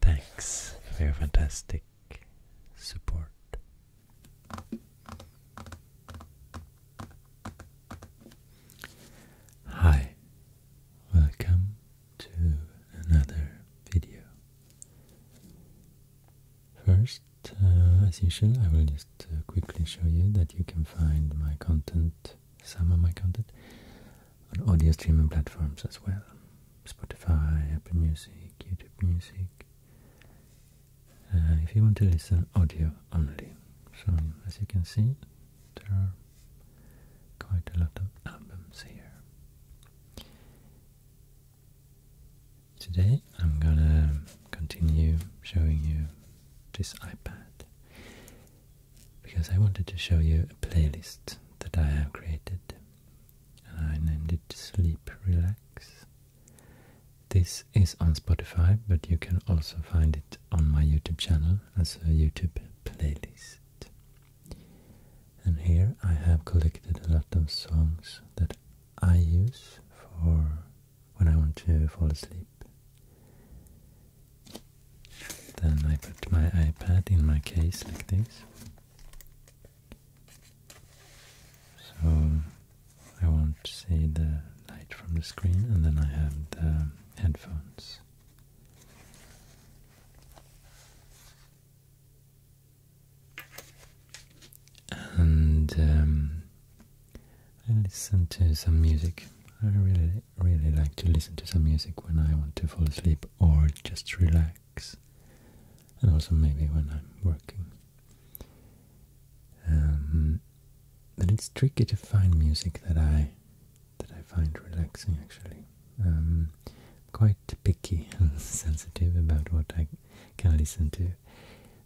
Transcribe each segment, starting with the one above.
Thanks for your fantastic support. Hi, welcome to another video. First, uh, as usual, I will just uh, quickly show you that you can find my content, some of my content, on audio streaming platforms as well. Spotify, Apple Music, YouTube Music. Uh, if you want to listen audio only. So as you can see, there are quite a lot of albums here. Today I'm gonna continue showing you this iPad because I wanted to show you a playlist that I have created and I named it Sleep Relax. This is on Spotify, but you can also find it on my YouTube channel as a YouTube playlist. And here I have collected a lot of songs that I use for when I want to fall asleep. Then I put my iPad in my case like this. So I won't see the light from the screen, and then I have the headphones. And um, I listen to some music. I really, really like to listen to some music when I want to fall asleep or just relax and also maybe when I'm working. Um, but it's tricky to find music that I that I find relaxing actually. Um, quite picky and sensitive about what I can listen to.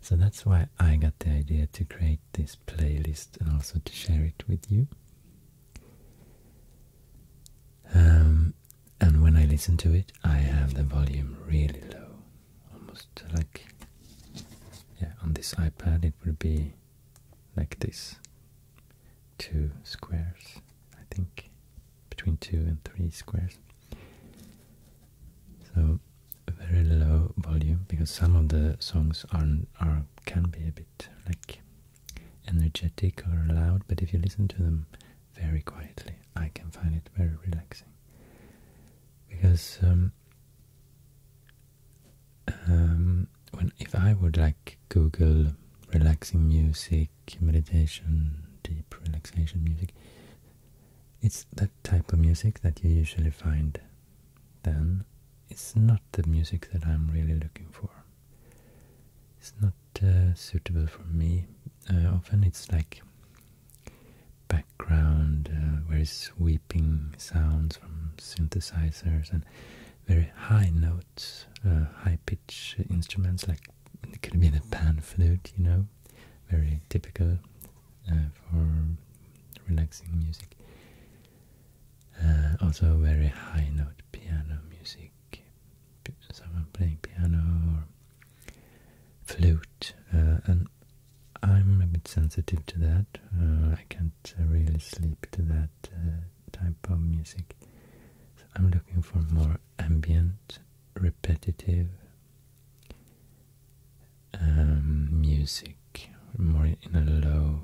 So that's why I got the idea to create this playlist and also to share it with you. Um, and when I listen to it, I have the volume really low, almost like yeah. On this iPad, it would be like this, two squares, I think, between two and three squares. So very low volume because some of the songs are are can be a bit like energetic or loud, but if you listen to them very quietly. I can find it very relaxing because um, um, when if I would like Google relaxing music, meditation, deep relaxation music, it's that type of music that you usually find. Then it's not the music that I'm really looking for it's not uh, suitable for me. Uh, often it's like background, uh, where it's sweeping sounds from synthesizers and very high notes, high pitch instruments like it could be the pan flute, you know, very typical for relaxing music. also very high note piano music someone playing piano or flute, uh, and I'm a bit sensitive to that. Uh, I can't really sleep to that uh, type of music. I'm looking for more ambient, repetitive um, music, more in a low,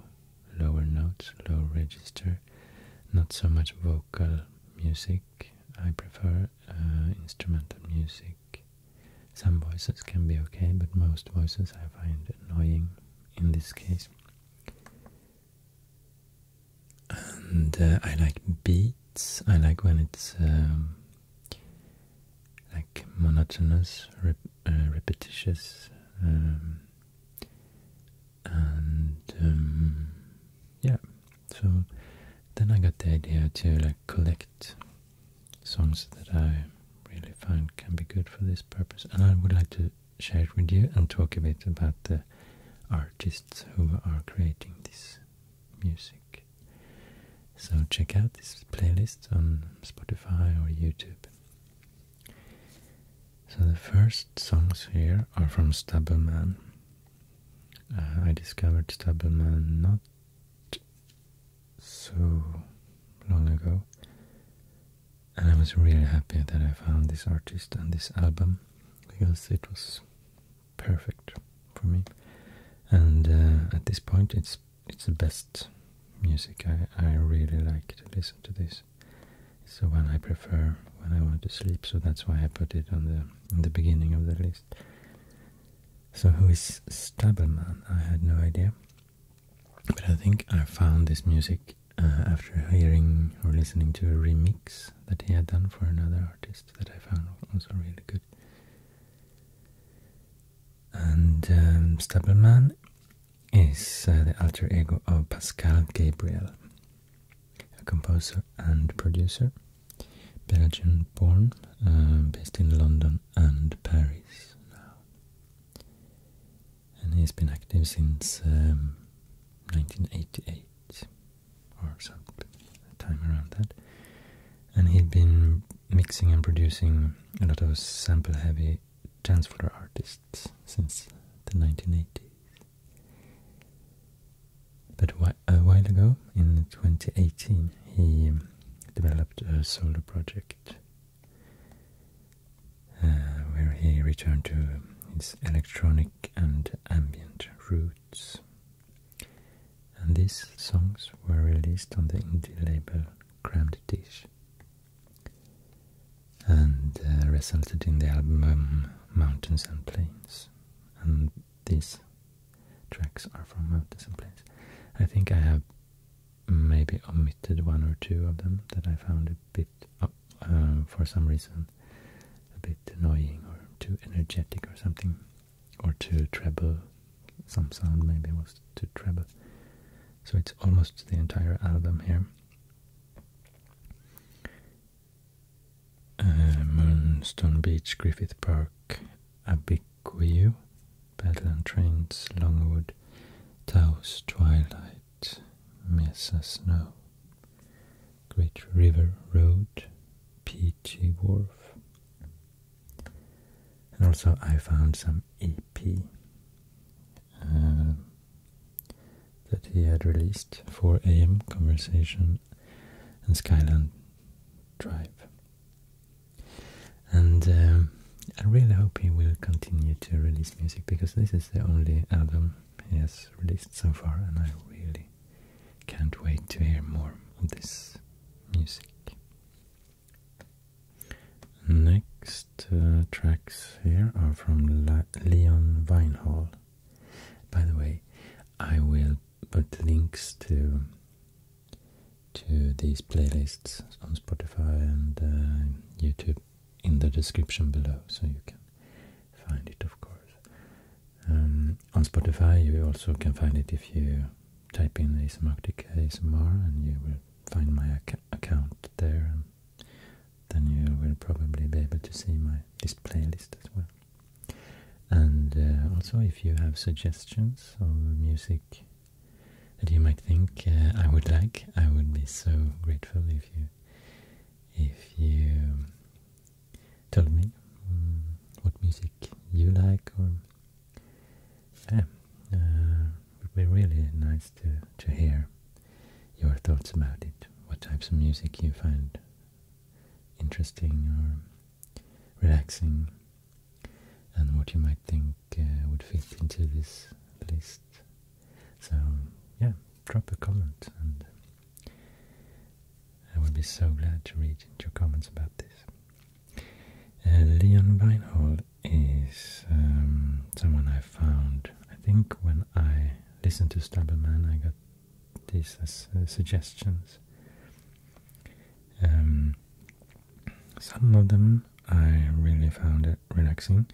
lower notes, low register, not so much vocal music I prefer uh, instrumental music. Some voices can be okay, but most voices I find annoying in this case. And uh, I like beats. I like when it's um, like monotonous, uh, repetitious. Um, and um, yeah, so then I got the idea to like collect songs that I really find can be good for this purpose, and I would like to share it with you and talk a bit about the artists who are creating this music. So check out this playlist on Spotify or YouTube. So the first songs here are from Stubbleman. Uh, I discovered Stubbleman not so long ago, and I was really happy that I found this artist and this album because it was perfect for me. And uh, at this point, it's it's the best music. I I really like to listen to this. It's the one I prefer when I want to sleep, so that's why I put it on the in the beginning of the list. So who is Stubbleman? I had no idea. But I think I found this music uh, after hearing or listening to a remix that he had done for another artist that I found also really good. And um, Stubbleman is uh, the alter ego of Pascal Gabriel, a composer and producer, Belgian born, um, based in London and Paris now. And he's been active since 1988 um, or something, time around that. And he'd been mixing and producing a lot of sample heavy dance floor artists since the 1980s. But a while ago, in 2018, he developed a solo project uh, where he returned to his electronic and ambient roots. And these songs were released on the indie label Crammed Dish and uh, resulted in the album Mountains and Plains. And these tracks are from Mountains and Plains. I think I have maybe omitted one or two of them that I found a bit, uh, for some reason, a bit annoying or too energetic or something, or too treble. Some sound maybe was too treble. So it's almost the entire album here. Eh, Moonstone Beach, Griffith Park, Abiquiu, Battle and Trains, Longwood, Taos, Twilight, Mesa Snow, Great River Road, P.G. Wharf. And also I found some EP eh, that he had released, for am Conversation and Skyland Drive. And um, I really hope he will continue to release music because this is the only album he has released so far, and I really can't wait to hear more of this music. Next uh, tracks here are from Leon Vinehall. By the way, I will put links to to these playlists on Spotify and uh, YouTube in the description below, so you can find it, of course. Um, on Spotify, you also can find it if you type in Asymarctic ASMR, and you will find my account there, and then you will probably be able to see my this playlist as well. And uh, also, if you have suggestions of music that you might think uh, I would like, I would be so grateful if you if you told me mm, what music you like, or yeah, it uh, would be really nice to to hear your thoughts about it. What types of music you find interesting or relaxing and what you might think uh, would fit into this list. So yeah, drop a comment and uh, I would be so glad to read your comments about this. Uh, Leon Weinhold is um, someone I found, I think when I listened to Man*, I got these are uh, uh, suggestions. Um, some of them I really found relaxing.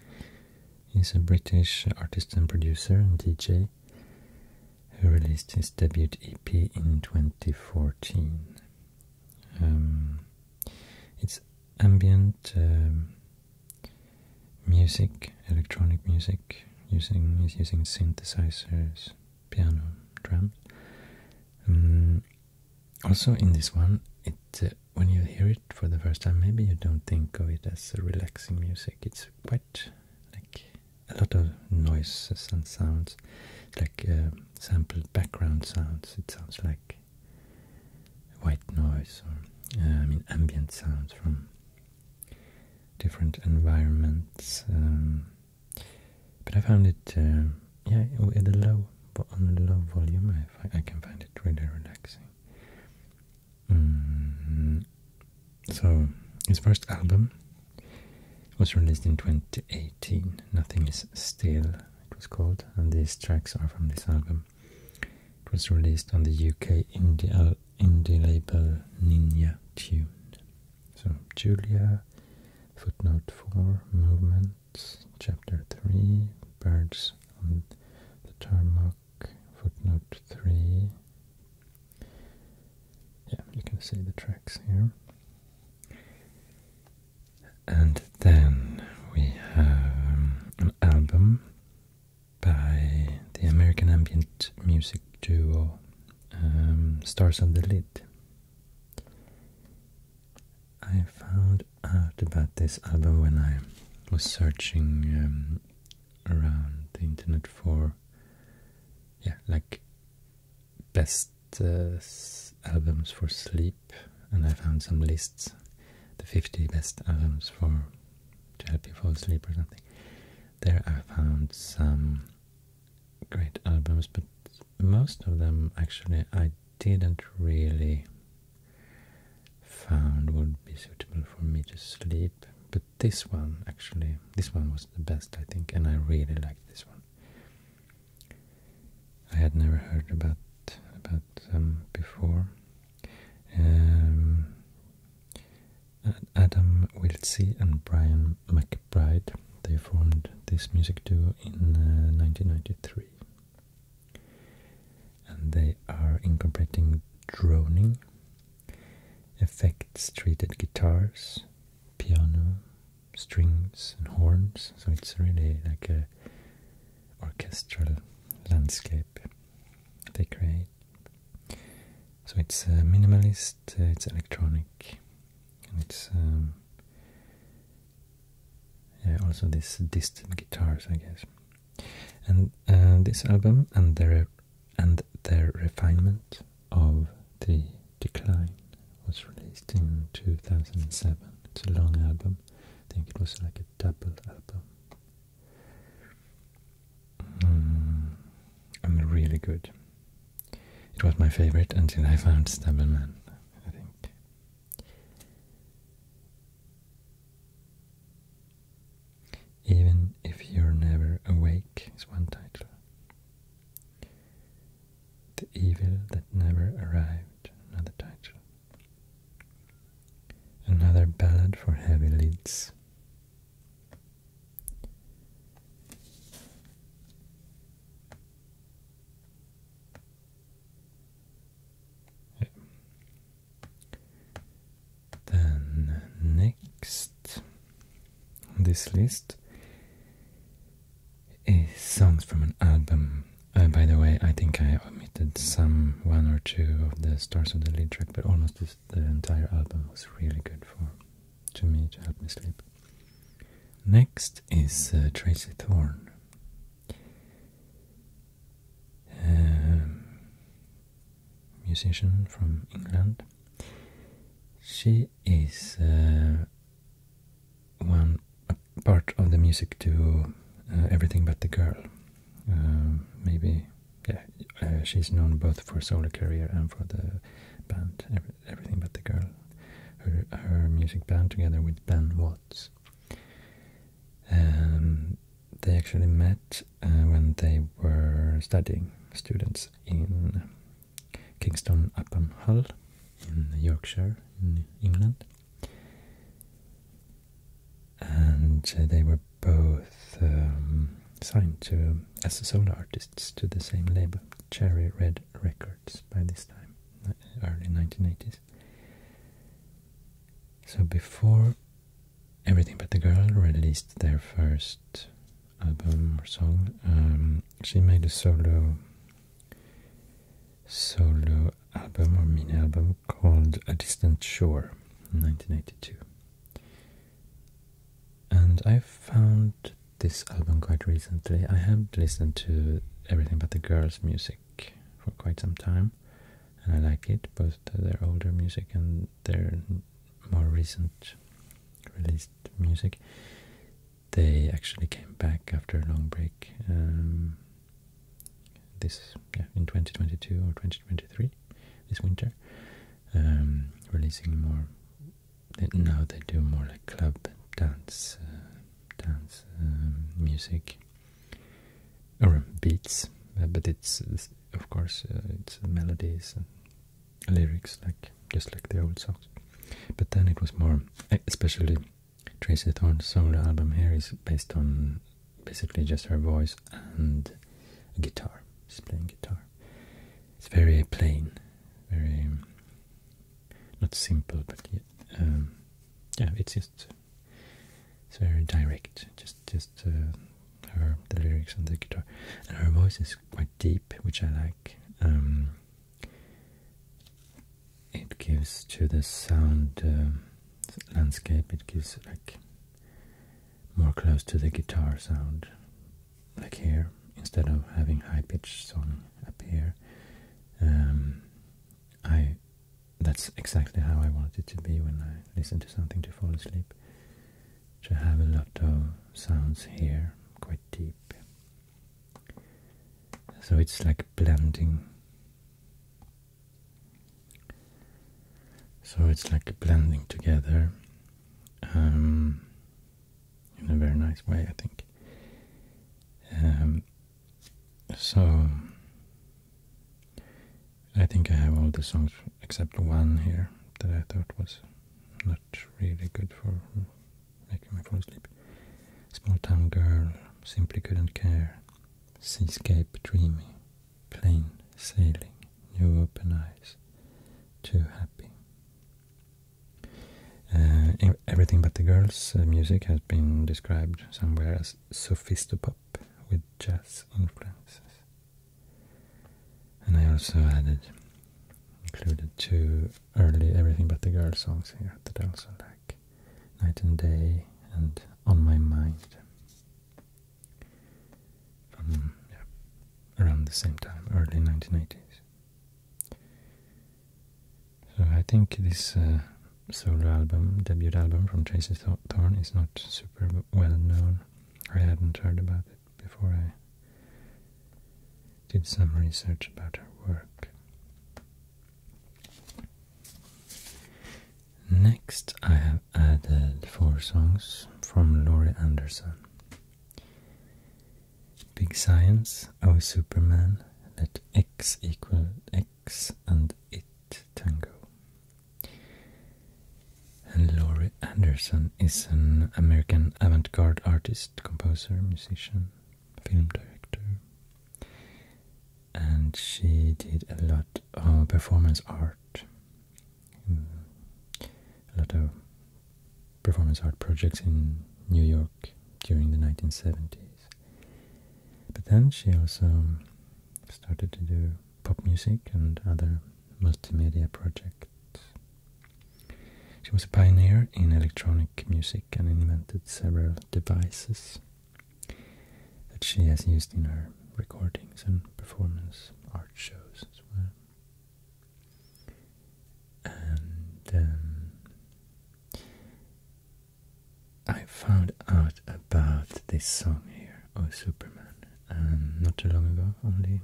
He's a British artist and producer and DJ who released his debut EP in 2014. Um, it's ambient um, music, electronic music, using is using synthesizers piano drums. Um, also, in this one, it uh, when you hear it for the first time, maybe you don't think of it as relaxing music. It's quite like a lot of noises and sounds, like uh, sampled background sounds. It sounds like white noise or uh, I mean ambient sounds from different environments. Um, but I found it, uh, yeah, at a low, on a low volume, I, can find it really relaxing. Mm-hmm. so his first album was released in 2018. Nothing is still, it was called, and these tracks are from this album. It was released on the UK indie, indie label Ninja Tune. So Julia, footnote 4, movements, chapter 3, birds on the tarmac, footnote 3. Yeah, you can see the tracks here. And then we have an album by the American ambient music duo um, stars on the Lid. I found out about this album when I was searching um, around the internet for, yeah, like best uh, albums for sleep, and I found some lists, the 50 best albums for to help you fall asleep or something. There I found some great albums, but most of them actually I didn't really found would be suitable for me to sleep. But this one actually, this one was the best I think, and I really liked this one. I had never heard about about them before. Um, Adam Wiltsey and Brian McBride. They formed this music duo in 1993. Uh, and they are incorporating droning, effects treated guitars, piano, strings and horns. So it's really like a orchestral landscape they create. So it's a minimalist uh, it's electronic and it's um, yeah, also this distant guitars, I guess. And uh, this album and their and their refinement of the decline was released in 2007. It's a long album. I think it was like a double album. Mm, I'm really good. It was my favorite until I found Stableman, I think. Even if you're never awake is one title. The Evil That Never Arrived, another title. Another ballad for heavy lids. Then next on this list is songs from an album. Uh, by the way, I think I omitted some one or two of the Stars of the Lead track, but almost the entire album was really good for to me to help me sleep. Next is uh, Tracy Thorn. Um, musician from England. She is uh, one part of the music to uh, Everything But the Girl. Um, maybe, yeah, uh, she's known both for solo career and for the band everything but the girl. Her music band together with Ben Watts. Um, they actually met uh, when they were studying students in Kingston upon Hull in Yorkshire in England. And uh, they were both um, signed to as solo artists to the same label, Cherry Red Records, by this time, early 1980s. So before Everything But the Girl released their first album or song, um, she made a solo solo album or mini album called A Distant Shore in 1982. And I found this album quite recently. I have not listened to everything but the girls' music for quite some time, and I like it, both their older music and their more recent released music. They actually came back after a long break. Um, this in 2022 or 2023, this winter, um, releasing more now they do more like club dance, uh, dance um, music or beats, uh, but it's uh, of course it's melodies and lyrics like just like the old songs. But then it was more, eh, especially Tracy Thorn's solo album here is based on basically just her voice and guitar. She's playing guitar. It's very plain very not simple, but um, yeah, it's just it's very direct. Just just uh, her the lyrics and the guitar, and her voice is quite deep, which I like. Um, it gives to the sound um, landscape. It gives like more close to the guitar sound, like here, instead of having high-pitched song up um, here, I that's exactly how I want it to be when I listen to something to fall asleep. To have a lot of sounds here, quite deep. So it's like blending. So it's like blending together. Um, in a very nice way, I think. Um, so I think I have all the songs except one here that I thought was not really good for making me fall asleep. Small Town Girl, Simply Couldn't Care, Seascape dreaming, Plain Sailing, New Open Eyes, Too Happy, uh, everything but the girls' uh, music has been described somewhere as sophistopop with jazz influences. And I also added, included two early Everything But The Girls songs here that I also like. Night and Day and On My Mind. yeah, around the same time, early 1980s. So I think this uh, solo album, debut album from Tracy Thorn is not super well known. I hadn't heard about it before I did some research about her work. Next I have added four songs from Laurie Anderson. Big Science, oh Superman, let x equal x and it tango. And Laurie Anderson is an American avant garde artist, composer, musician, film director. And she did a lot of performance art, mm, a lot of performance art projects in New York during the 1970s. But then she also started to do pop music and other multimedia projects. She was a pioneer in electronic music and invented several devices that she has used in her recordings and performance art shows as well and um, I found out about this song here, Oh Superman, um, not too long ago, only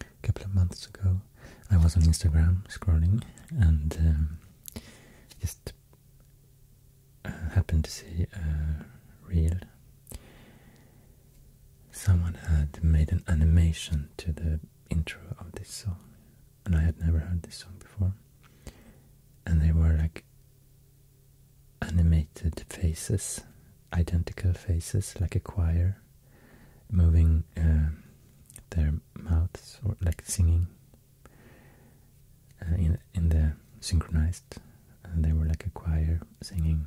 a couple of months ago. I was on Instagram scrolling and um, just uh, happened to see a reel. Someone had made an animation to the intro of this song, and I had never heard this song before. And they were like animated faces, identical faces, like a choir, moving uh, their mouths or like singing uh, in in the synchronized. they were like a choir singing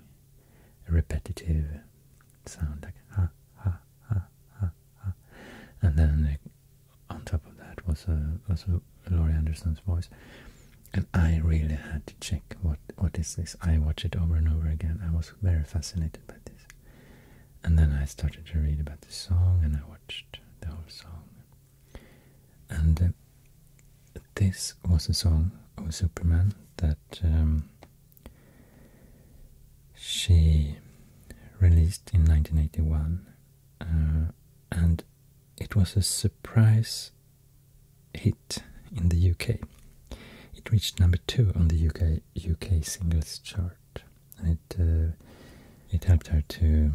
repetitive sound like ha ha ha ha ha, and then on top of that was a, also Laurie Anderson's voice, and I really had to check what what is this. I watched it over and over again. I was very fascinated by this, and then I started to read about the song, and I watched the whole song, and uh, this was a song of Superman that. Um, she released in 1981, uh, and it was a surprise hit in the UK. It reached number two on the UK UK singles chart, and it uh, it helped her to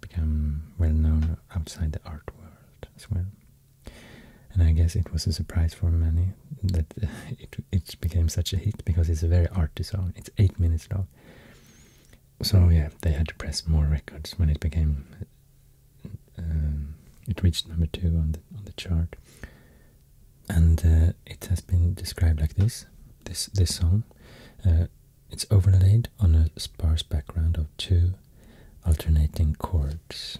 become well known outside the art world as well. And I guess it was a surprise for many that uh, it it became such a hit because it's a very arty song. It's eight minutes long. So yeah, they had to press more records when it became. Um, it reached number two on the on the chart, and uh, it has been described like this: this this song. Uh, it's overlaid on a sparse background of two alternating chords,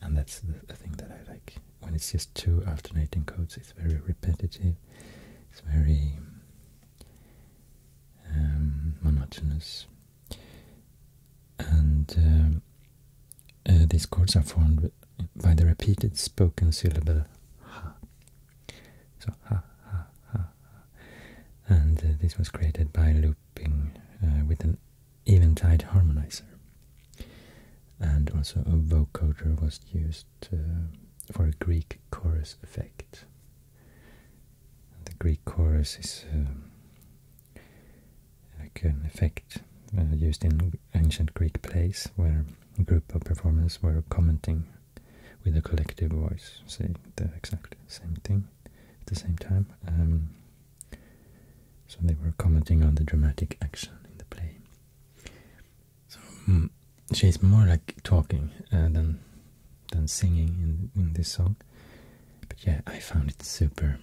and that's the thing that I like when it's just two alternating chords, it's very repetitive, it's very um, monotonous. And um, uh, these chords are formed by the repeated spoken syllable ha. So ha ha ha. And uh, this was created by looping uh, with an eventide harmonizer. And also a vocoder was used uh, for a Greek chorus effect. The Greek chorus is uh, like an effect uh, used in ancient Greek plays where a group of performers were commenting with a collective voice, saying the exact same thing at the same time. Um, so they were commenting on the dramatic action in the play. So mm, she's more like talking uh, than than singing in this song. But yeah, I found it super,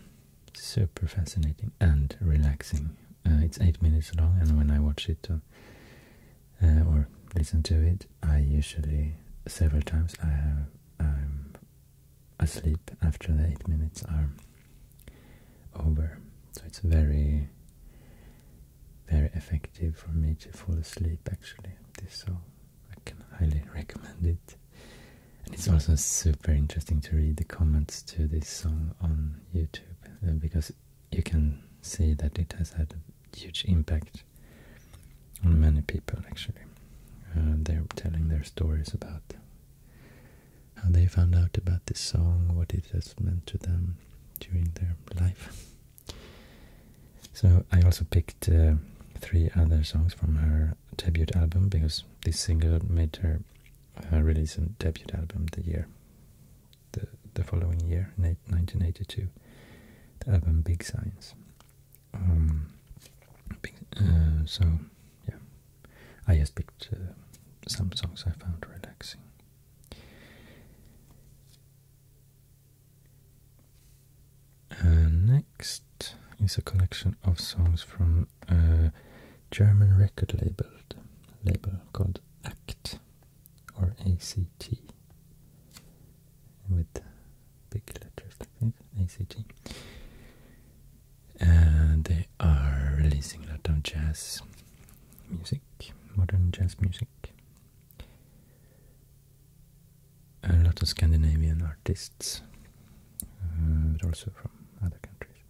super fascinating and relaxing. Uh, it's eight minutes long, and when I watch it uh, or listen to it, I usually several times I have, I'm asleep after the eight minutes are over. So it's very, very effective for me to fall asleep actually. This so I can highly recommend it. And it's also super interesting to read the comments to this song on YouTube uh, because you can see that it has had a huge impact on many people actually. Uh, they're telling their stories about how they found out about this song, what it has meant to them during their life. So I also picked uh, three other songs from her debut album because this single made her uh, release a debut album the year, the the following year, 1982, the album Big Signs. Um, uh, so yeah, I just picked some songs I found relaxing. Uh, next is a collection of songs from a uh, German record labeled, label called ACT or ACT with big letters ACT and they are releasing a lot of jazz music, modern jazz music. A lot of Scandinavian artists, uh, but also from other countries.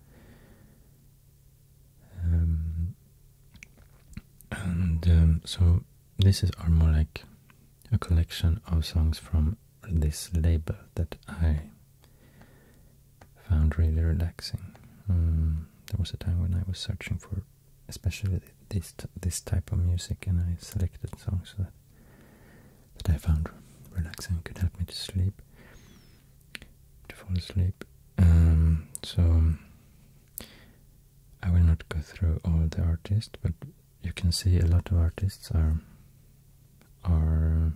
Um, and um, so this is more like a collection of songs from this label that I found really relaxing. Um, there was a time when I was searching for, especially this this type of music, and I selected songs that that I found relaxing, could help me to sleep, to fall asleep. Um, so I will not go through all the artists, but you can see a lot of artists are are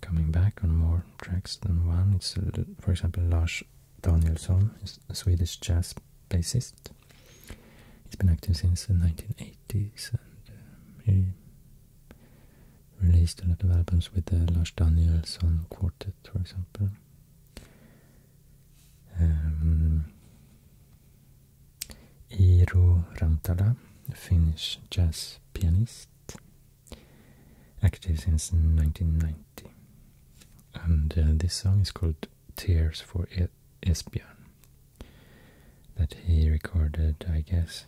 coming back on more tracks than one. It's uh, for example Lars Danielsson, a Swedish jazz bassist. He's been active since the 1980s and um, he released a lot of albums with the Lars Danielsson Quartet, for example. Um, Rantala, Finnish jazz pianist active since 1990. And uh, this song is called Tears for e Esbjörn that he recorded, I guess,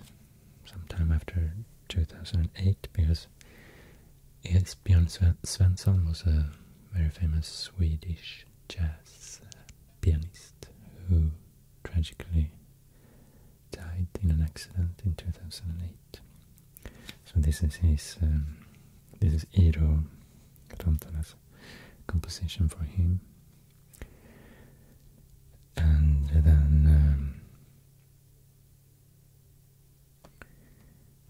some time after 2008 because Esbjörn Svensson was a very famous Swedish jazz pianist who tragically died in an accident in 2008. So this is his, um, this is Iiro Tontala's composition for him. And then, um,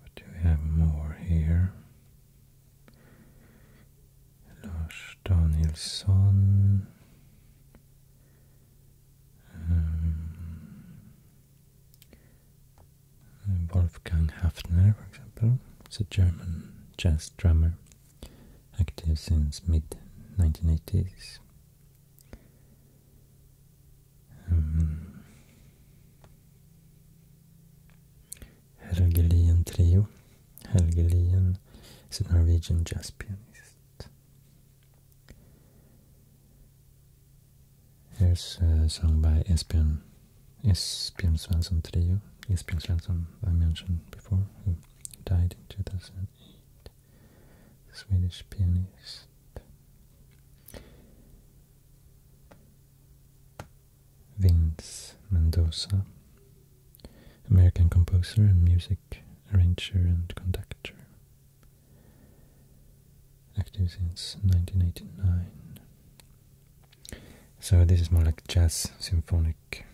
what do we have more here? Lars Danielsson um, um, Wolfgang Hafner, for example, is a German jazz drummer active since mid-1980s. Um, Helge Lien Trio. Helge Lien is a Norwegian jazz pianist. Here's a uh, song by Esbjörn, Esbjörn Svensson Trio, Esbjörn Svensson I mentioned before, who died in 2008, Swedish pianist. Vince Mendoza, American composer and music arranger and conductor, active since 1989. So this is more like jazz symphonic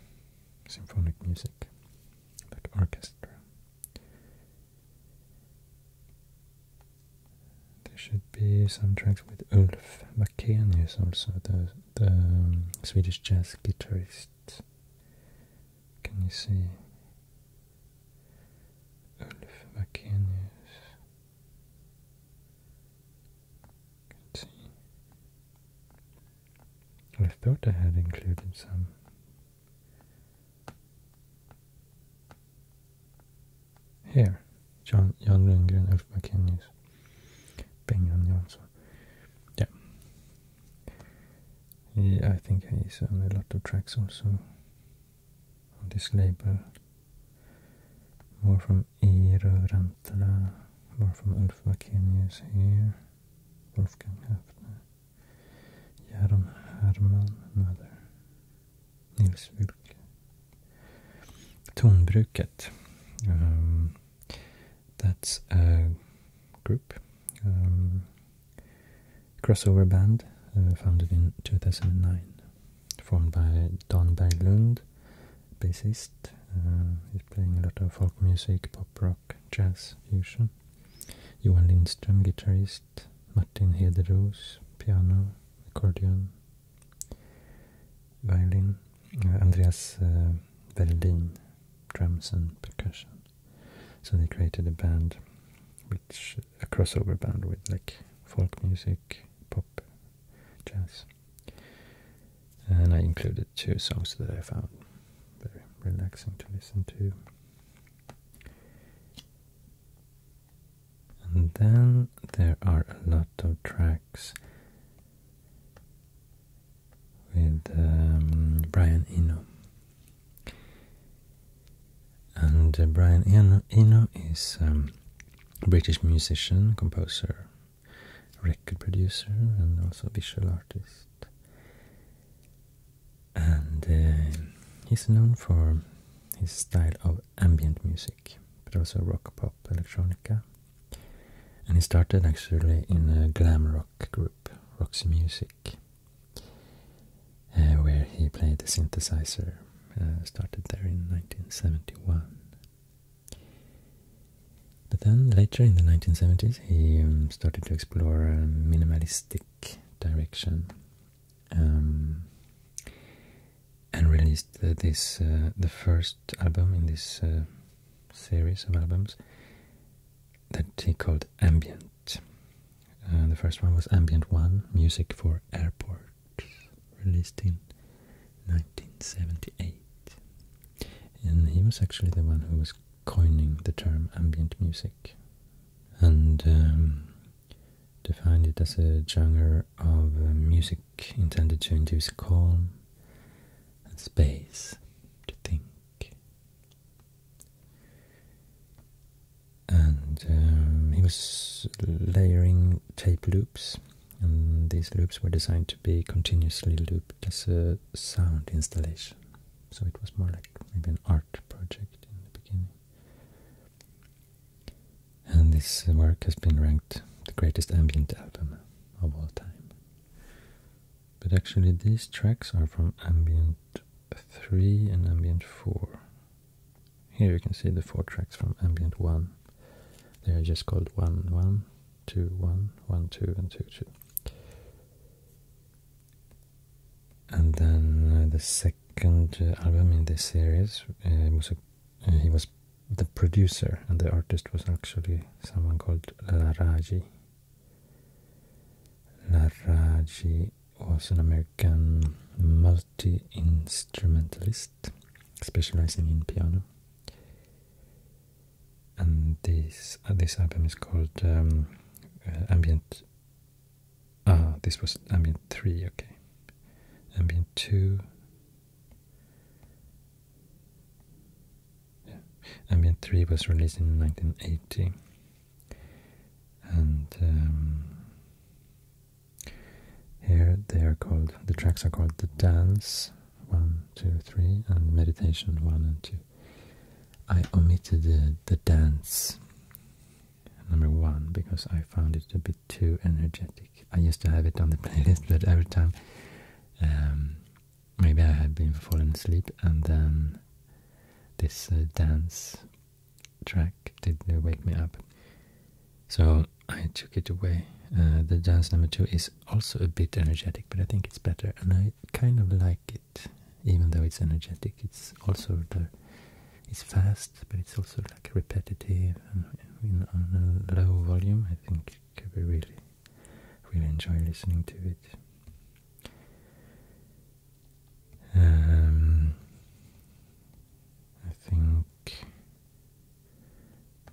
symphonic music, like orchestra. There should be some tracks with Ulf Vakenius also, the, the um, Swedish jazz guitarist can you see Ulf Vakenius? Can see. I thought I had included some. Here, John, John Lundgren, Ulf Vakenius, Bengan Yeah. I think he's on a lot of tracks also on this label. More from Eero Rantala, more from Ulf Vakenius here, Wolfgang Höfner, Jaron Herman, another, Nils Wilke. Tonbruket, um, that's a group. Um, crossover band uh, founded in 2009, formed by Don Berglund, bassist. Uh, he's playing a lot of folk music, pop rock, jazz, fusion. Johan Lindström, guitarist. Martin Hederos, piano, accordion, violin. Uh, Andreas uh, Veldin, drums and percussion. So they created a band which a crossover band with like folk music, pop, jazz. And I included two songs that I found very relaxing to listen to. And then there are a lot of tracks with um, Brian Eno and uh, Brian Eno, is a um, British musician, composer, record producer, and also visual artist. And uh, he's known for his style of ambient music, but also rock, pop, electronica. And he started actually in a glam rock group, Roxy Music, uh, where he played the synthesizer, uh, started there in 1971. But then later in the 1970s he um, started to explore a minimalistic direction um, and released this uh, the first album in this series of albums that he called Ambient uh, the first one was Ambient One, Music for Airports, released in 1978. And he was actually the one who was coining the term ambient music and um, defined it as a genre of uh, music intended to induce calm and space to think and um, he was layering tape loops and these loops were designed to be continuously looped as a sound installation so it was more like maybe an art project in the beginning and this work has been ranked the greatest ambient album of all time but actually these tracks are from ambient 3 and ambient 4. Here you can see the four tracks from ambient 1. They are just called one one, two one, one two, and 2, 2. And then uh, the second uh, album in this series uh, he was the producer, and the artist was actually someone called Laraji. Laraji was an American multi-instrumentalist specializing in piano. And this uh, this album is called um, uh, Ambient. Ah, this was Ambient Three. Okay, Ambient Two. Yeah. Ambient Three was released in 1980 and um, here they are called the tracks are called the dance one two three and meditation one and two i omitted the, dance number one because i found it a bit too energetic i used to have it on the playlist but every time um, maybe i had been falling asleep and then this uh, dance track did wake me up. So I took it away. Uh, the dance number two is also a bit energetic, but I think it's better, and I kind of like it, even though it's energetic. It's also the, it's fast, but it's also like repetitive and in, on a low volume. I think I really, really enjoy listening to it. Um, I think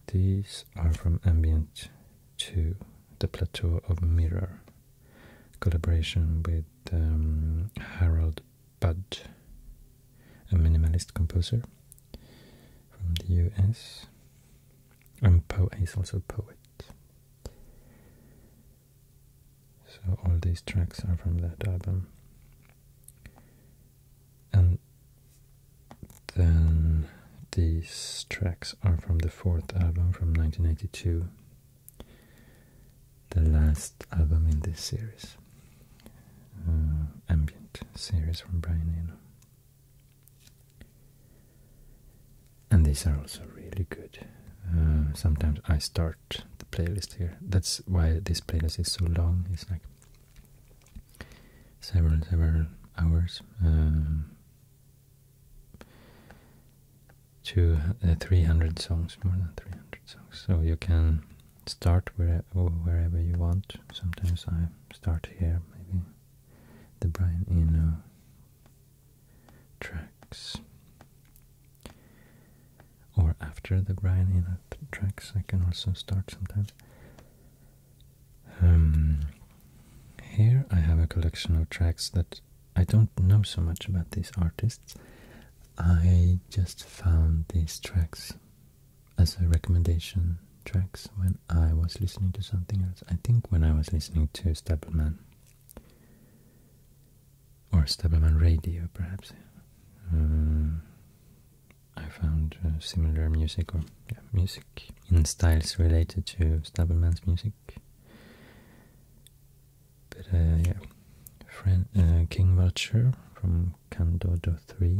these are from Ambient 2, The Plateau of Mirror, collaboration with um, Harold Budd, a minimalist composer from the US. And Poe is also a poet. So all these tracks are from that album. And then these tracks are from the fourth album from 1982, the last album in this series, uh, ambient series from Brian Eno. And these are also really good. Um, sometimes I start the playlist here. That's why this playlist is so long. It's like several, several hours. Um, to uh, 300 songs, more than 300 songs. So you can start where, wherever you want. Sometimes I start here, maybe the Brian Eno tracks or after the grind in tracks I can also start sometimes. Um, here I have a collection of tracks that I don't know so much about these artists. I just found these tracks as a recommendation tracks when I was listening to something else. I think when I was listening to Stapleman or Stabbleman Radio, perhaps. Uh, I found uh, similar music or music in styles related to Stabbleman's music. But uh, yeah, friend uh, King Vulture from Kandodo 3,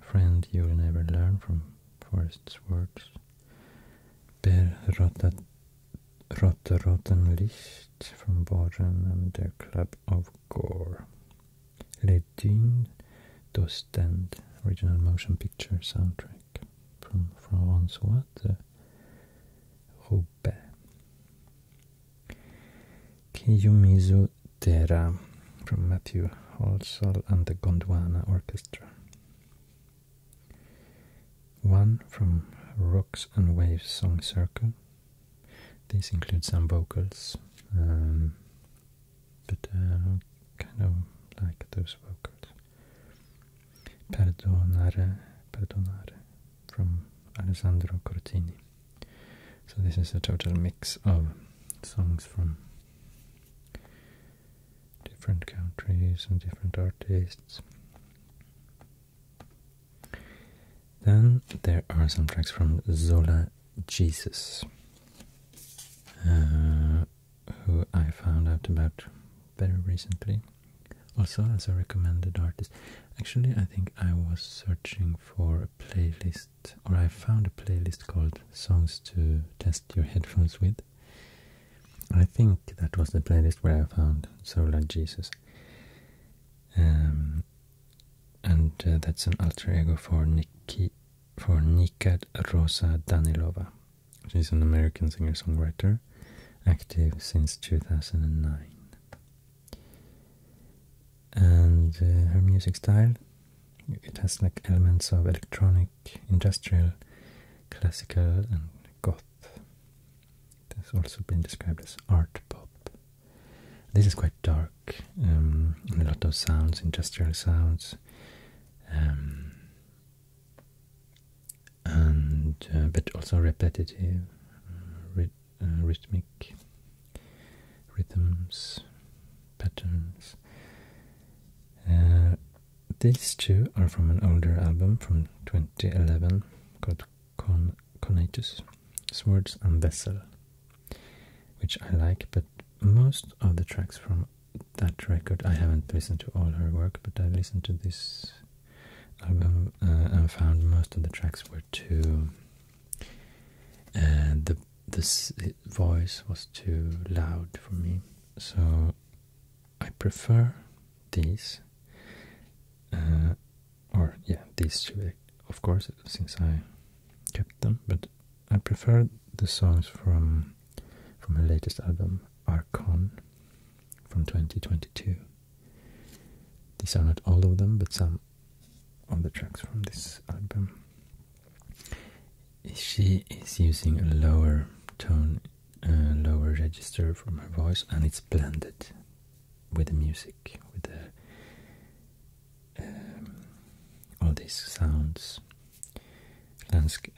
Friend You'll Never Learn from Forest's Works, Per Rotat Rotte Rotten Licht from Baden and the Club of Gore. Les Dunes d'Ostend, original motion picture soundtrack from François de Roubaix. Kiyomizu Terra from Matthew Holsal and the Gondwana Orchestra. One from Rocks and Waves Song Circle these include some vocals, um, but uh, kind of like those vocals. Perdonare, Perdonare from Alessandro Cortini. So this is a total mix of songs from different countries and different artists. Then there are some tracks from Zola Jesus, uh, who I found out about very recently, also as a recommended artist. Actually, I think I was searching for a playlist, or I found a playlist called Songs to Test Your Headphones With. I think that was the playlist where I found Zola Jesus. Um, and uh, that's an alter ego for Nikki, for Nikat Rosa Danilova. She's an American singer-songwriter, active since 2009. And uh, her music style, it has like elements of electronic, industrial, classical, and goth goth. also been described as art pop. This is quite dark, um, and a lot of sounds, industrial sounds, um, and uh, but also repetitive, uh, uh, rhythmic rhythms, patterns. these two are from an older album from 2011 called con conatus, swords and vessel, which I like, but most of the tracks from that record, I haven't listened to all her work, but I listened to this album uh, and found most of the tracks were too, uh, the, the voice was too loud for me, so I prefer these uh, or yeah these two of course since I kept them but I prefer the songs from from her latest album Archon from 2022 these are not all of them but some of the tracks from this album she is using a lower tone a lower register for her voice and it's blended with the music, with the um, all these sounds, landscape,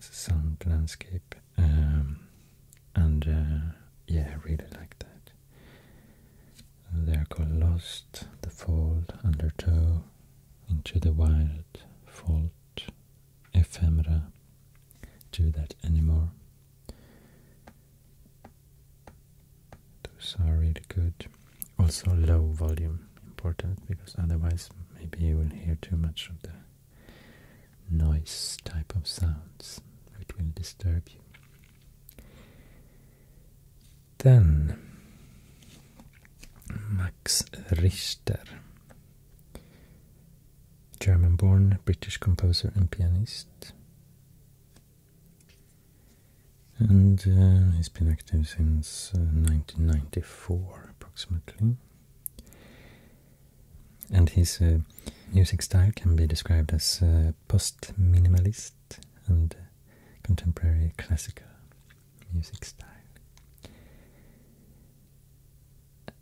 sound landscape, um, and uh, yeah, I really like that. They are called Lost, The fold Undertow, Into the Wild, Fault, Ephemera. Do that anymore. Those are really good. Also low volume, important, because otherwise maybe you will hear too much of the noise type of sounds, which will disturb you. Then, Max Richter, German-born British composer and pianist and uh, he's been active since 1994 uh, approximately. And his uh, music style can be described as post-minimalist and contemporary classical music style.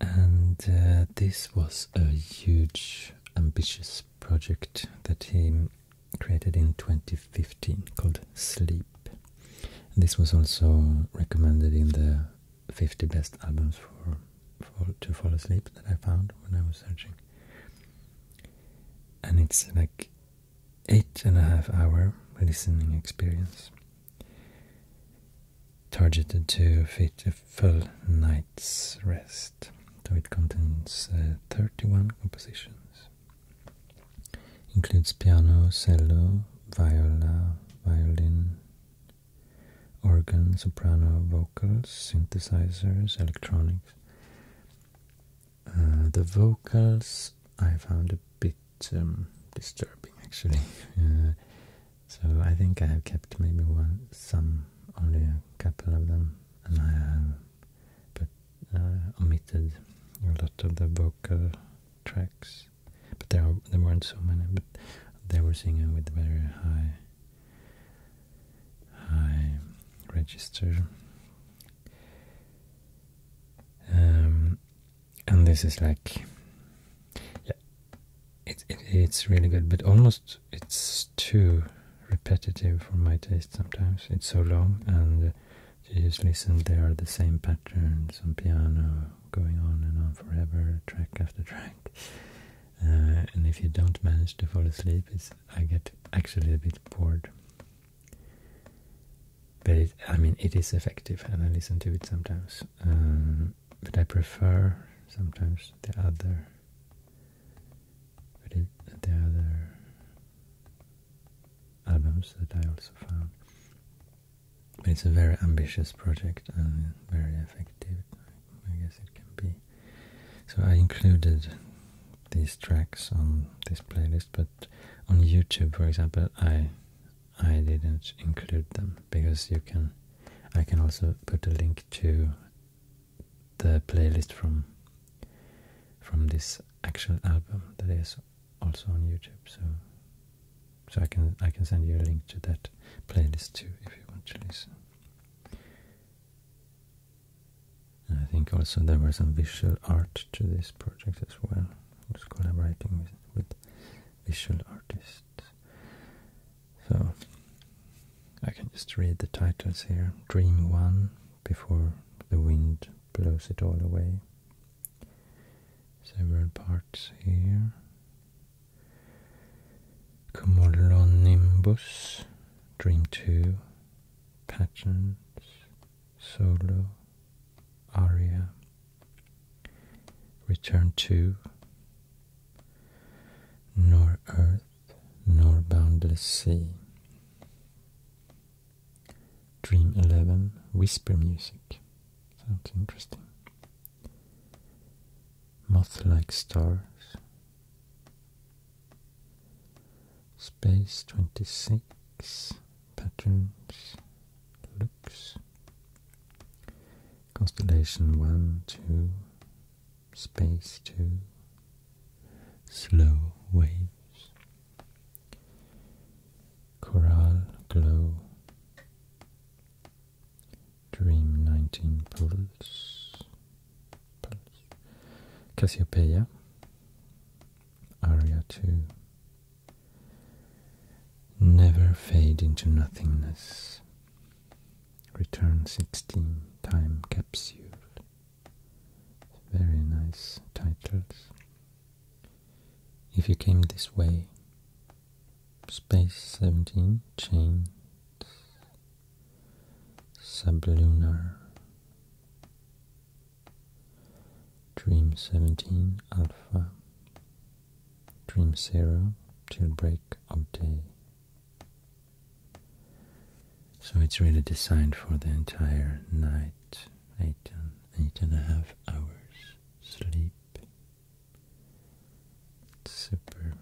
And this was a huge, ambitious project that he created in 2015 called Sleep. this was also recommended in the 50 best albums for, to fall asleep that I found when I was searching. And it's like eight and a half hour listening experience targeted to fit full night's rest. So it contains uh, 31 compositions. Includes piano, cello, viola, violin, organ, soprano, vocals, synthesizers, electronics. Uh, the vocals I found a bit um, disturbing actually. Uh, so I think I have kept maybe some only a couple of them, and I have uh, omitted a lot of the vocal tracks. But there there weren't so many. But they were singing with very high high register. Um, and this is like, yeah, it, it's really good, but almost it's too repetitive for my taste. Sometimes it's so long, and uh, you just listen. There are the same patterns on piano going on and on forever, track after track. Uh, and if you don't manage to fall asleep, I get actually a bit bored. But I mean, it is effective, and I listen to it sometimes. Um, but I prefer sometimes the other but the other albums that I also found. it's a very ambitious project and very effective. I guess it can be. So I included these tracks on this playlist, but on YouTube, for example, I I didn't include them because you can. I can also put a link to the playlist from from this actual album that is also on YouTube. So so I can I can send you a link to that playlist too if you want to listen. And I think also there was some visual art to this project as well. I was collaborating with, with visual artists. So I can just read the titles here. Dream One before the wind blows it all away. Several parts here. Cumulonimbus, Dream 2, Patterns, Solo, Aria, Return to. Nor Earth, nor boundless sea. Dream 11, Whisper Music. Sounds interesting. Moth-like stars. Space 26, Patterns, Looks. Constellation 1, 2, space to slow waves, coral glow, dream 19 pulse, pulse. Cassiopeia, aria 2, never fade into nothingness. Return 16 Time Capsule. Very nice titles. If you came this way, Space 17 Chains, Sublunar, Dream 17 Alpha, Dream Zero Till Break of Day. So it's really designed for the entire night, eight eight and a half hours sleep. It's super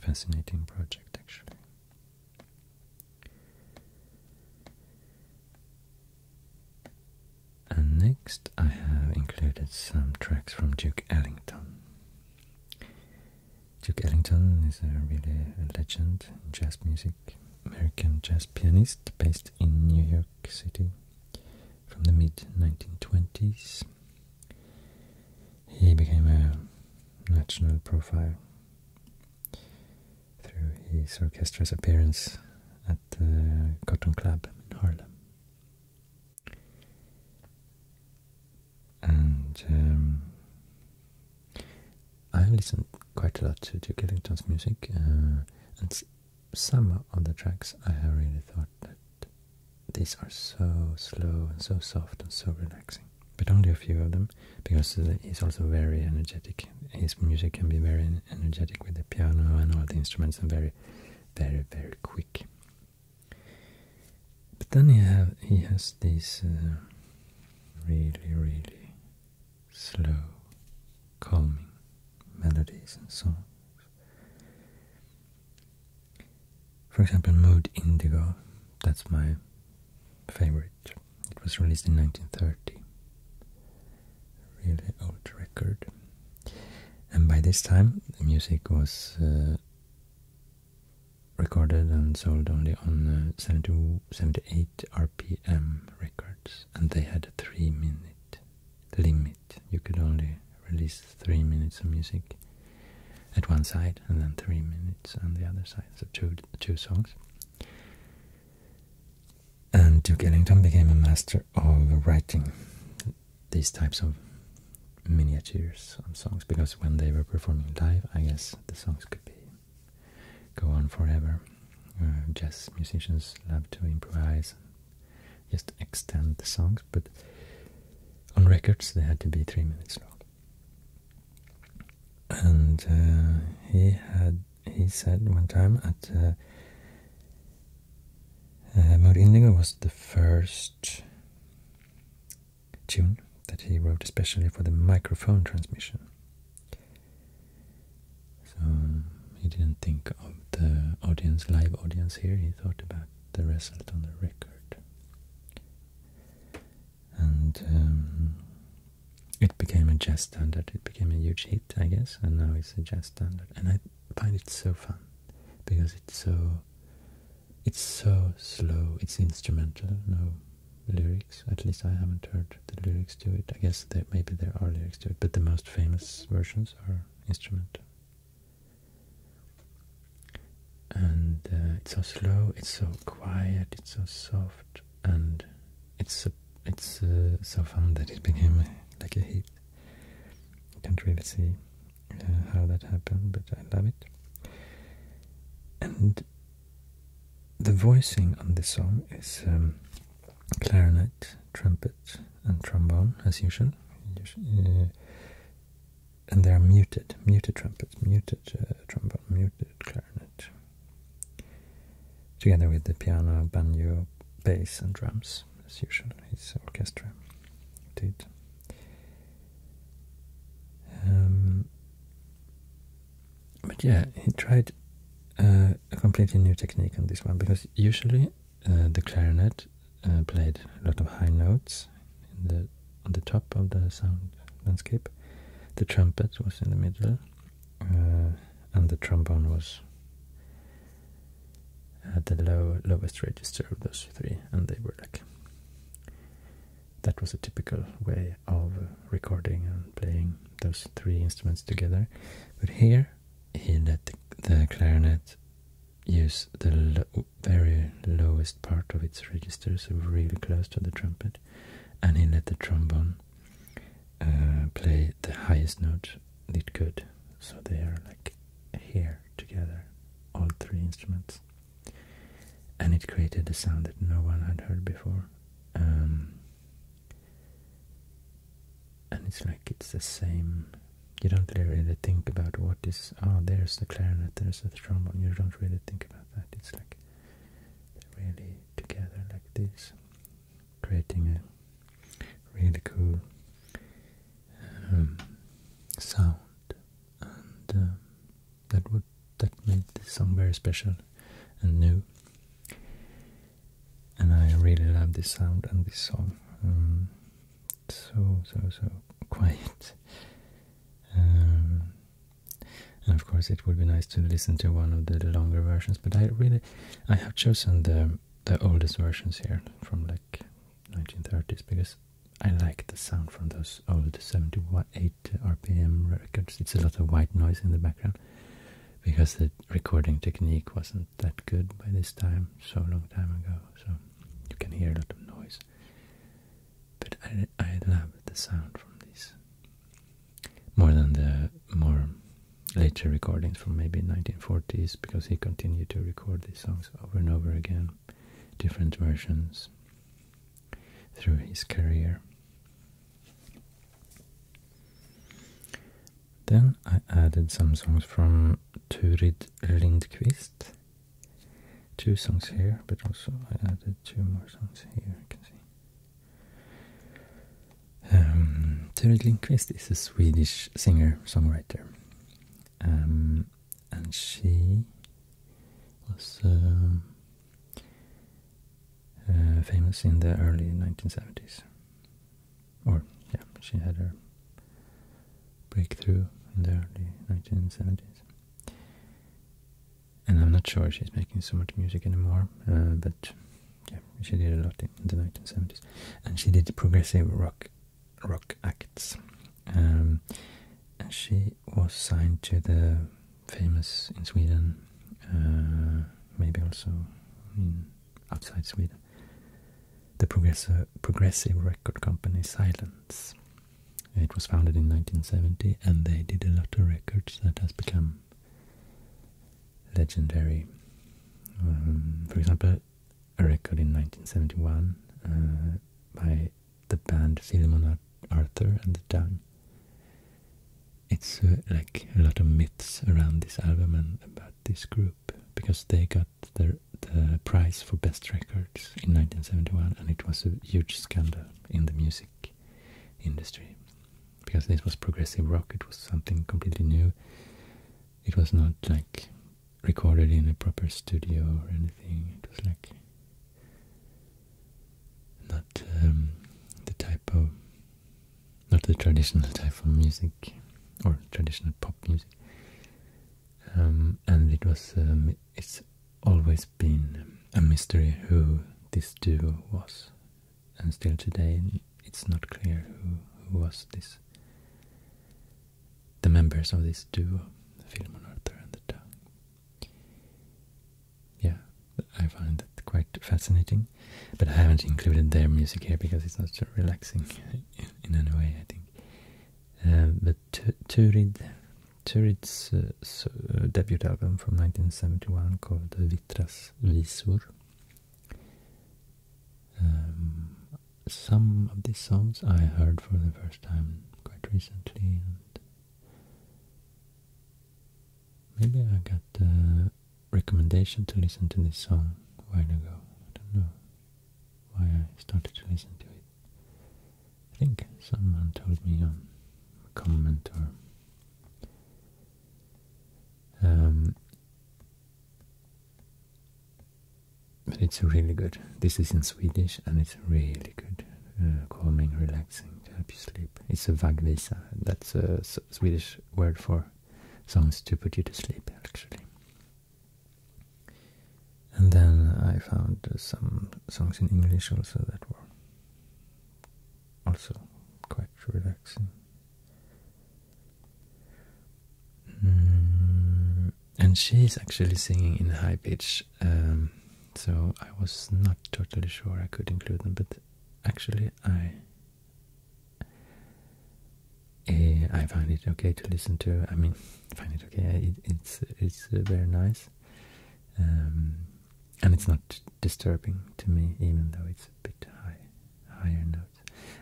fascinating project actually. And next I have included some tracks from Duke Ellington. Duke Ellington is a really a legend in jazz music, American jazz pianist based in New York City from the mid-1920s. He became a national profile through his orchestra's appearance at the Cotton Club in Harlem and um, I listen quite a lot to Duke Ellington's music, uh, and some of the tracks I have really thought that these are so slow and so soft and so relaxing. But only a few of them, because he's also very energetic. His music can be very energetic with the piano and all the instruments, and very, very, very quick. But then he have he has these uh, really really slow, calming melodies and songs. For example, Mood Indigo. That's my favorite. It was released in 1930. really old record. And by this time, the music was. Uh, recorded and sold only on uh, 78 RPM records, and they had a three minute limit. You could only release three minutes of music at one side, and then three minutes on the other side, so two, two songs. And Duke Ellington became a master of writing these types of miniatures on songs because when they were performing live, I guess the songs could be go on forever. Uh, jazz musicians love to improvise, and just extend the songs, but on records they had to be three minutes long. And uh, he had he said one time that uh, uh was the first tune that he wrote especially for the microphone transmission. So he didn't think of the audience, live audience here, he thought about the result on the record. And um, it became a jazz standard, it became a huge hit, I guess, and now it's a jazz standard. And I find it so fun because it's so it's so slow, it's instrumental, no lyrics. At least I haven't heard the lyrics to it. I guess maybe there are lyrics to it, but the most famous versions are instrumental. And uh, it's so slow, it's so quiet, it's so soft, and it's it's uh, so fun that it became uh, like a hit. I can't really see how that happened, but I love it. And the voicing on this song is um, clarinet, trumpet, and trombone, as usual. Uh, and they are muted, muted trumpets, muted uh, trombone, muted clarinet, together with the piano, banjo, bass, and drums, as usual. His orchestra did. Um, but yeah, he tried uh, a completely new technique on this one because usually uh, the clarinet uh, played a lot of high notes on the top of the sound landscape. The trumpet was in the middle, and the trombone was at the lowest register of those three, and they were like that was a typical way of uh, recording and playing those three instruments together. But here he let the, clarinet use the very lowest part of its register, so really close to the trumpet, and he let the trombone uh, play the highest note it could. So they are like here together, all three instruments and it created a sound that no one had heard before. Um, and it's like it's the same. You don't really think about what is. Oh, there's the clarinet, there's the trombone. You don't really think about that. It's like they're really together like this, creating a really cool um, sound. Um, that would that made this song very special and new. And I really love this sound and this song. Um, so so so quiet. Um, and of course, it would be nice to listen to one of the longer versions. But I really, I have chosen the the oldest versions here from like 1930s because I like the sound from those old 78 RPM records. It's a lot of white noise in the background because the recording technique wasn't that good by this time, so long time ago. So you can hear a lot of noise. But I, I love the sound from this more than the more later recordings from maybe 1940s because he continued to record these songs over and over again, different versions through his career. Then I added some songs from Turid Lindqvist. Two songs here, but also I added two more songs here, you can see. Um, Turid Lindqvist is a Swedish singer-songwriter. Um, and she was... Um, uh, famous in the early 1970s. Or, yeah, she had her breakthrough in the early 1970s. And I'm not sure she's making so much music anymore, uh, but yeah, she did a lot in the 1970s. And she did progressive rock rock acts. Um, and she was signed to the famous in Sweden, uh, maybe also in outside Sweden. The progressive, record company Silence. It was founded in 1970, and they did a lot of records that has become legendary. Um, for example, a record in 1971 uh, by the band Philemon Ar Arthur and the Tongue. It's uh, like a lot of myths around this album and about this group because they got their, the prize for best records in 1971 and it was a huge scandal in the music industry because this was progressive rock, it was something completely new. It was not like recorded in a proper studio or anything, it was like not um, the type of not the traditional type of music or traditional pop music um, and it was um, it's always been a mystery who this duo was and still today it's not clear who, who was this the members of this duo Filmonartar and the Tongue yeah, I find it quite fascinating. But I haven't included their music here because it's not so relaxing in, any way, I think. but uh, Turid, Turid's uh, uh, debut album from 1971 called Vitras Visur." Um, some of these songs I heard for the first time quite recently, and Maybe I got the recommendation to listen to this song a while ago. I don't know why I started to listen to it. I think someone told me on a comment or um, but it's really good. This is in Swedish and it's really good. Uh, calming, relaxing to help you sleep. It's a vagvisa. That's a Swedish word for songs to put you to sleep, actually. And then I found some songs in English also that were also quite relaxing. Mm, and she's actually singing in high pitch um, so I was not totally sure I could include them, but actually I eh, I find it okay to listen to. I mean, find it okay. it's it's uh, very nice, um, and it's not disturbing to me, even though it's a bit high, higher notes.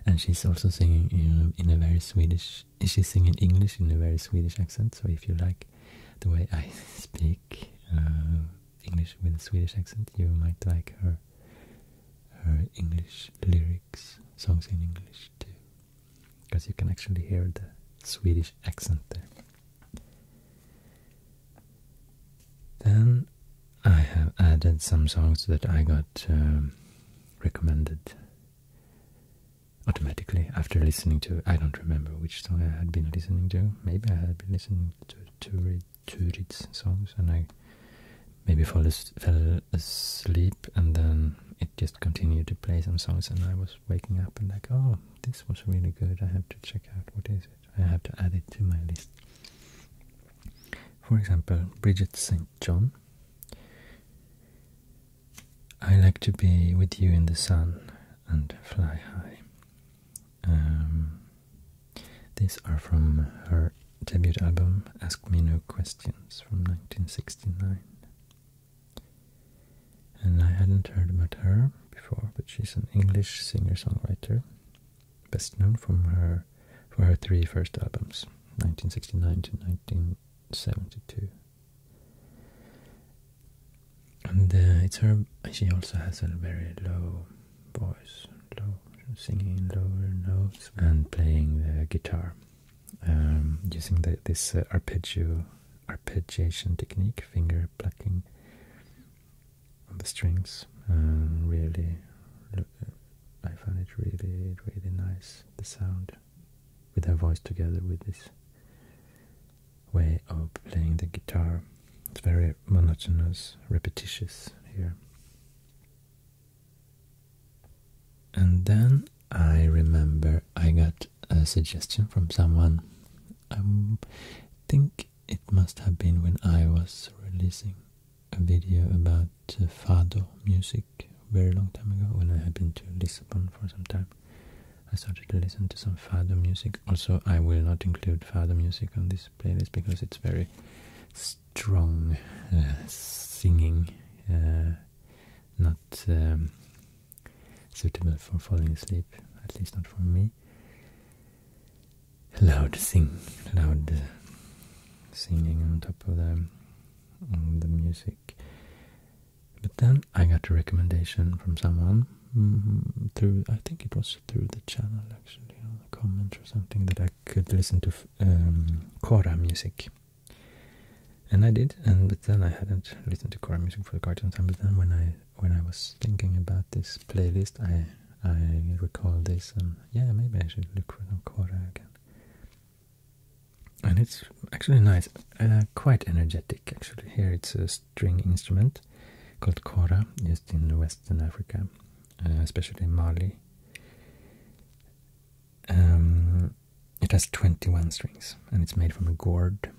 And she's also singing uh, in a very Swedish. She's singing English in a very Swedish accent. So if you like the way I speak uh, English with a Swedish accent, you might like her her English lyrics, songs in English too, because you can actually hear the Swedish accent there. Then I have added some songs that I got um, recommended automatically after listening to I don't remember which song I had been listening to maybe I had been listening to two Turid's songs, and I maybe fell asleep, and then it just continued to play some songs, and I was waking up and like, oh, this was really good. I have to check out what is it. I have to add it to my list. For example, Bridget St. John. I like to be with you in the sun and Fly High. Um, these are from her debut album Ask Me No Questions from 1969. And I hadn't heard about her before, but she's an English singer-songwriter, best known from her for her three first albums, 1969 to 1972 and uh, it's her. She also has a very low voice, low singing, lower notes, and playing the guitar um, using this uh, arpeggio arpeggiation technique, finger plucking on the strings. Um, really, I found it really, really nice the sound with her voice together with this way of playing the guitar. It's very monotonous, repetitious here. And then I remember I got a suggestion from someone. I think it must have been when I was releasing a video about uh, fado music very long time ago when I had been to Lisbon for some time. I started to listen to some fado music. Also, I will not include fado music on this playlist because it's very strong uh, singing, uh, not um, suitable for falling asleep, at least not for me. Loud sing, loud uh, singing on top of the, the music. But then I got a recommendation from someone mm-hmm, through, I think it was through the channel actually, or comment or something, that I could listen to um, Kora music. And I did, and but then I hadn't listened to Kora music for quite some time. But then when I when I was thinking about this playlist, I I recall this, and yeah, maybe I should look for some Kora again. And it's actually nice, uh, quite energetic. Actually, here it's a string instrument called kora, used in Western Africa, uh, especially Mali. Um, it has 21 strings and it's made from a gourd,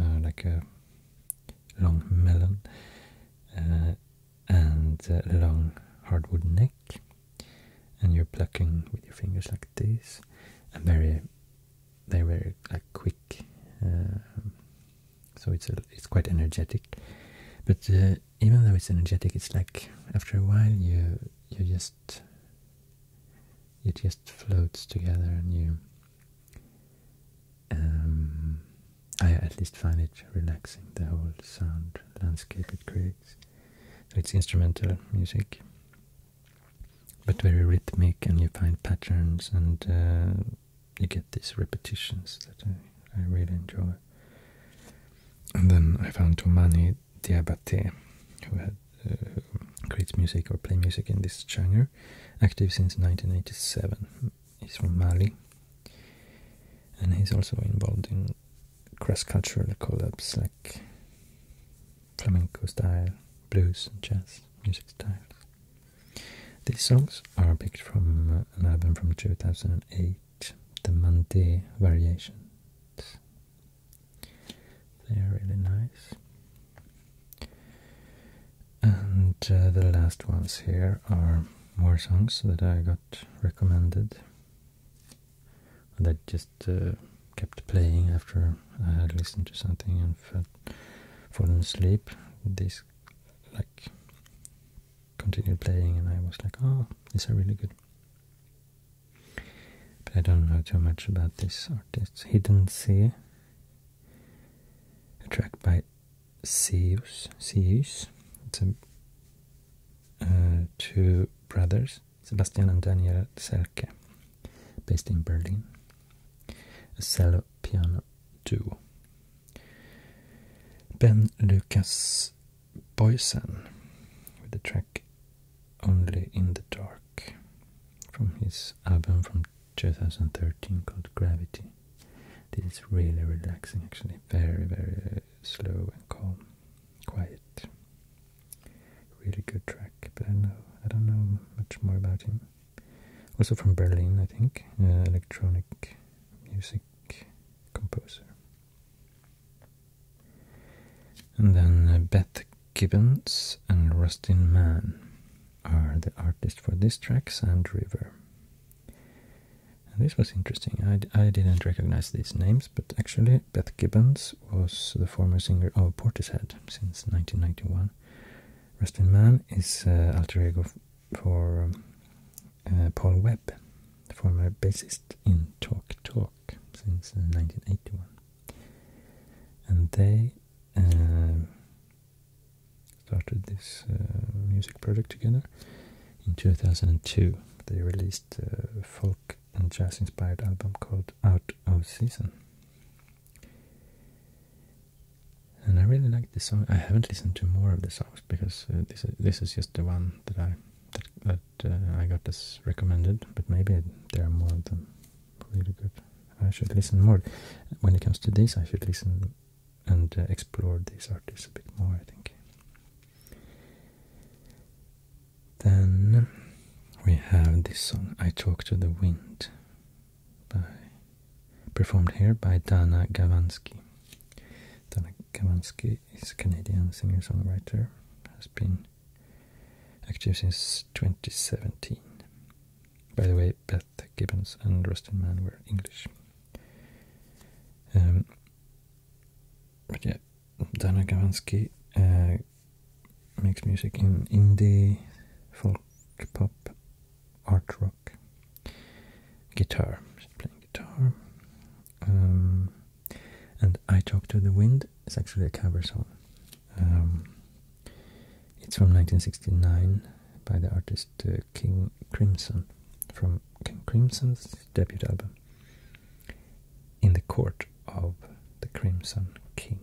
uh, like a long melon, uh, and a long hardwood neck. And you're plucking with your fingers like this, and very, they're very quick uh, so it's a, it's quite energetic. But uh, even though it's energetic, it's like after a while you you just it just floats together, and you. Um, I at least find it relaxing the whole sound landscape it creates. So it's instrumental music, but very rhythmic, and you find patterns and uh, you get these repetitions that I, I really enjoy. And then I found Tomani Diabate, who had uh, creates music or play music in this genre, active since 1987. He's from Mali, and he's also involved in cross-cultural collabs like flamenco style, blues and jazz music styles. These songs are picked from uh, an album from 2008, the Mante Variations. They are really nice. And uh, the last ones here are more songs that I got recommended. That just uh, kept playing after I had listened to something and felt fallen asleep. These like continued playing and I was like, oh, these are really good. But I don't know too much about this artist. Hidden Sea, a track by Seus. Seus. It's a, uh, two brothers, Sebastian and Daniel Selke, based in Berlin. A cello piano duo. Ben Lucas Boysen with the track Only in the Dark from his album from 2013 called Gravity. This is really relaxing actually, very very slow and calm, quiet. Really good track, but I know I don't know much more about him also from Berlin, I think, electronic music composer. And then uh, Beth Gibbons and Rustin Mann are the artists for these tracks Sand River. And this was interesting. I, I didn't recognize these names, but actually, Beth Gibbons was the former singer of Portishead since 1991. Rustin Mann is uh, alter ego for um, uh, Paul Webb, former bassist in Talk Talk since 1981. Uh, and they um, started this music project together in 2002. They released a folk and jazz inspired album called Out of Season. And I really like this song. I haven't listened to more of the songs because uh, this is, this is just the one that I that, uh, I got this recommended. But maybe there are more of them. Really good. I should listen more. When it comes to this, I should listen and uh, explore these artists a bit more. I think. Then we have this song. I talk to the wind by performed here by Dana Gavansky. Dana Gavansky is a Canadian singer-songwriter, has been active since 2017. By the way, Beth Gibbons and Rustin Mann were English. Um, but yeah, Dana Gavansky uh, makes music in indie, folk, pop, art rock guitar. She's playing guitar. Um, and I Talk to the Wind It's actually a cover song. Um, it's from 1969 by the artist uh, King Crimson from King Crimson's debut album In the Court of the Crimson King.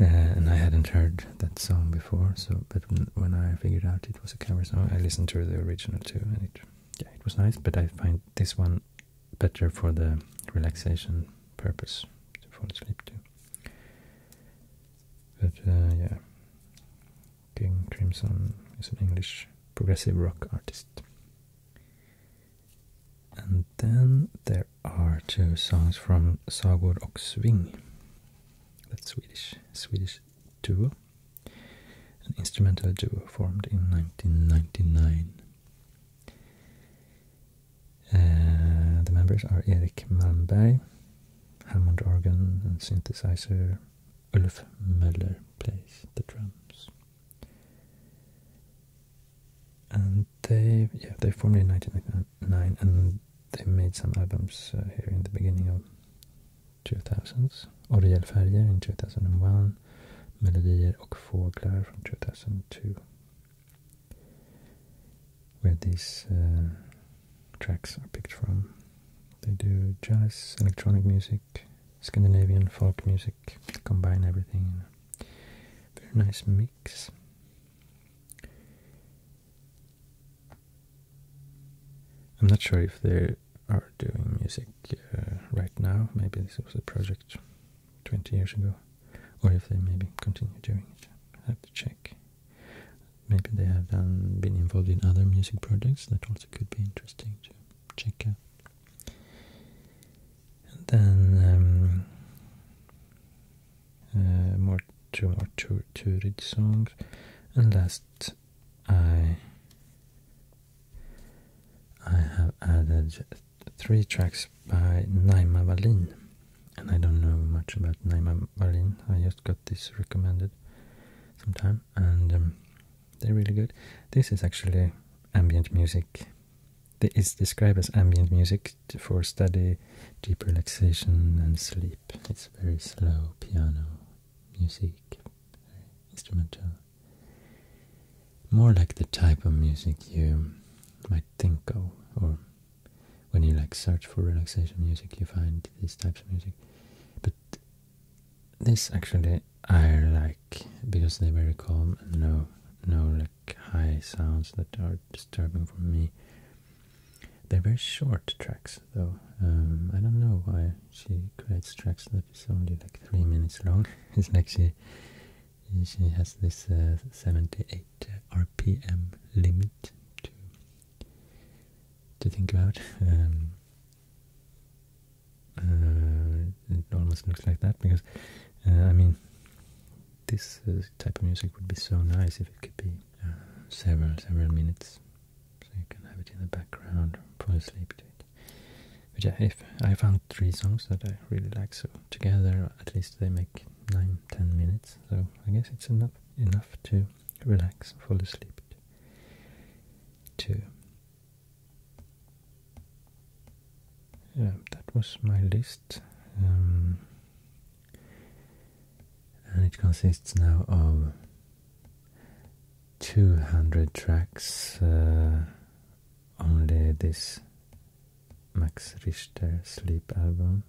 Uh, and I hadn't heard that song before, so but when I figured out it was a cover song, I listened to the original too, and it yeah, it was nice. But I find this one better for the relaxation purpose to fall asleep to. But uh, yeah, King Crimson is an English progressive rock artist. And then there are two songs from Sagor och Sving. That's Swedish, Swedish duo. An instrumental duo formed in 1999. Uh, the members are Erik Malmberg, Hammond organ and synthesizer. Ulf Möller plays the drums and they yeah they formed in 1999 and they made some albums uh, here in the beginning of 2000s Oriel Färger in 2001 Melodier och Fåglar from 2002 where these uh, tracks are picked from they do jazz, electronic music, Scandinavian folk music, combine everything very nice mix I'm not sure if they are doing music uh, right now. Maybe this was a project 20 years ago, or if they maybe continue doing it. I have to check. Maybe they have been involved in other music projects that also could be interesting to check out. then um, Eh, more two more Tur Turid songs, and last I I have added three tracks by Naima Wallin, and I don't know much about Naima Wallin. I just got this recommended sometime, and um, they're really good. This is actually ambient music it's described as ambient music for study, deep relaxation, and sleep. It's very slow piano music, very instrumental. More like the type of music you might think of, or when you like search for relaxation music, you find these types of music. But this actually I like because they're very calm and no, no like high sounds that are disturbing for me. They're very short tracks though. Um, I don't know why she creates tracks that is only like three minutes long. it's like she she has this uh, 78 RPM limit to to think about. Um, uh, it almost looks like that because uh, I mean this uh, type of music would be so nice if it could be uh, several, several minutes. So you can have it in the background fall asleep to it. But yeah, if I found three songs that I really like, so together at least they make nine, ten minutes. So I guess it's enough enough to relax, fall asleep to. yeah, that was my list. Um, and it consists now of 200 tracks uh, only this Max Richter sleep album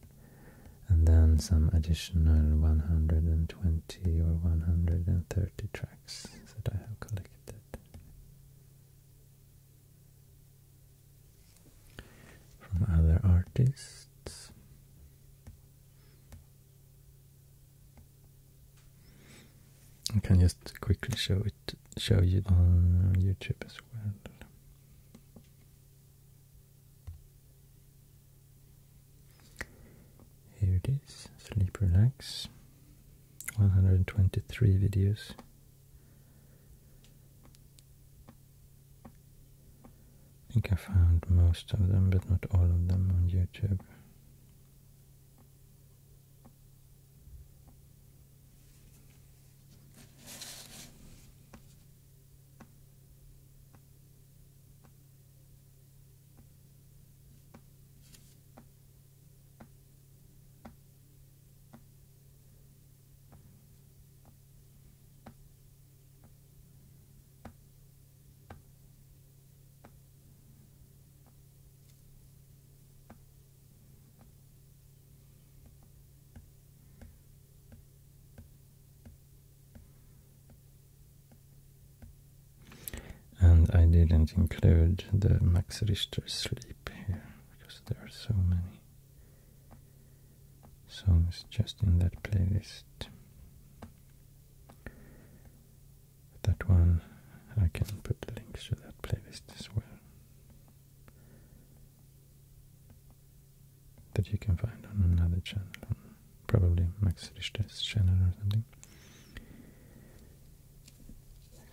and then some additional 120 or 130 tracks that I have collected from other artists. I can just quickly show it show you on YouTube as well. Here it is, Sleep Relax. 123 videos. I think I found most of them, but not all of them on YouTube. And I didn't include the Max Richter sleep here because there are so many songs just in that playlist. That one, I can put links to that playlist as well. That you can find on another channel, probably Max Richter's channel or something.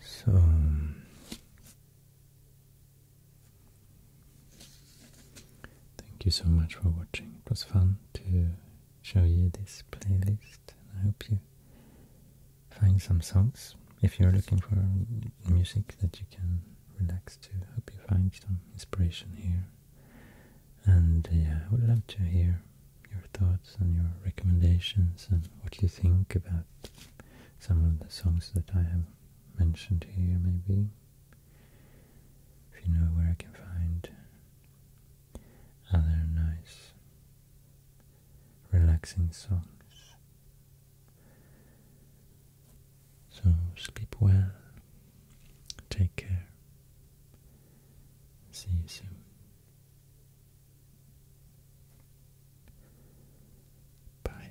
So, Thank you so much for watching. It was fun to show you this playlist. And I hope you find some songs. If you're looking for music that you can relax to, I hope you find some inspiration here. And yeah, I would love to hear your thoughts and your recommendations and what you think about some of the songs that I have mentioned here maybe if you know where I can find other nice relaxing songs. So sleep well, take care, see you soon. Bye.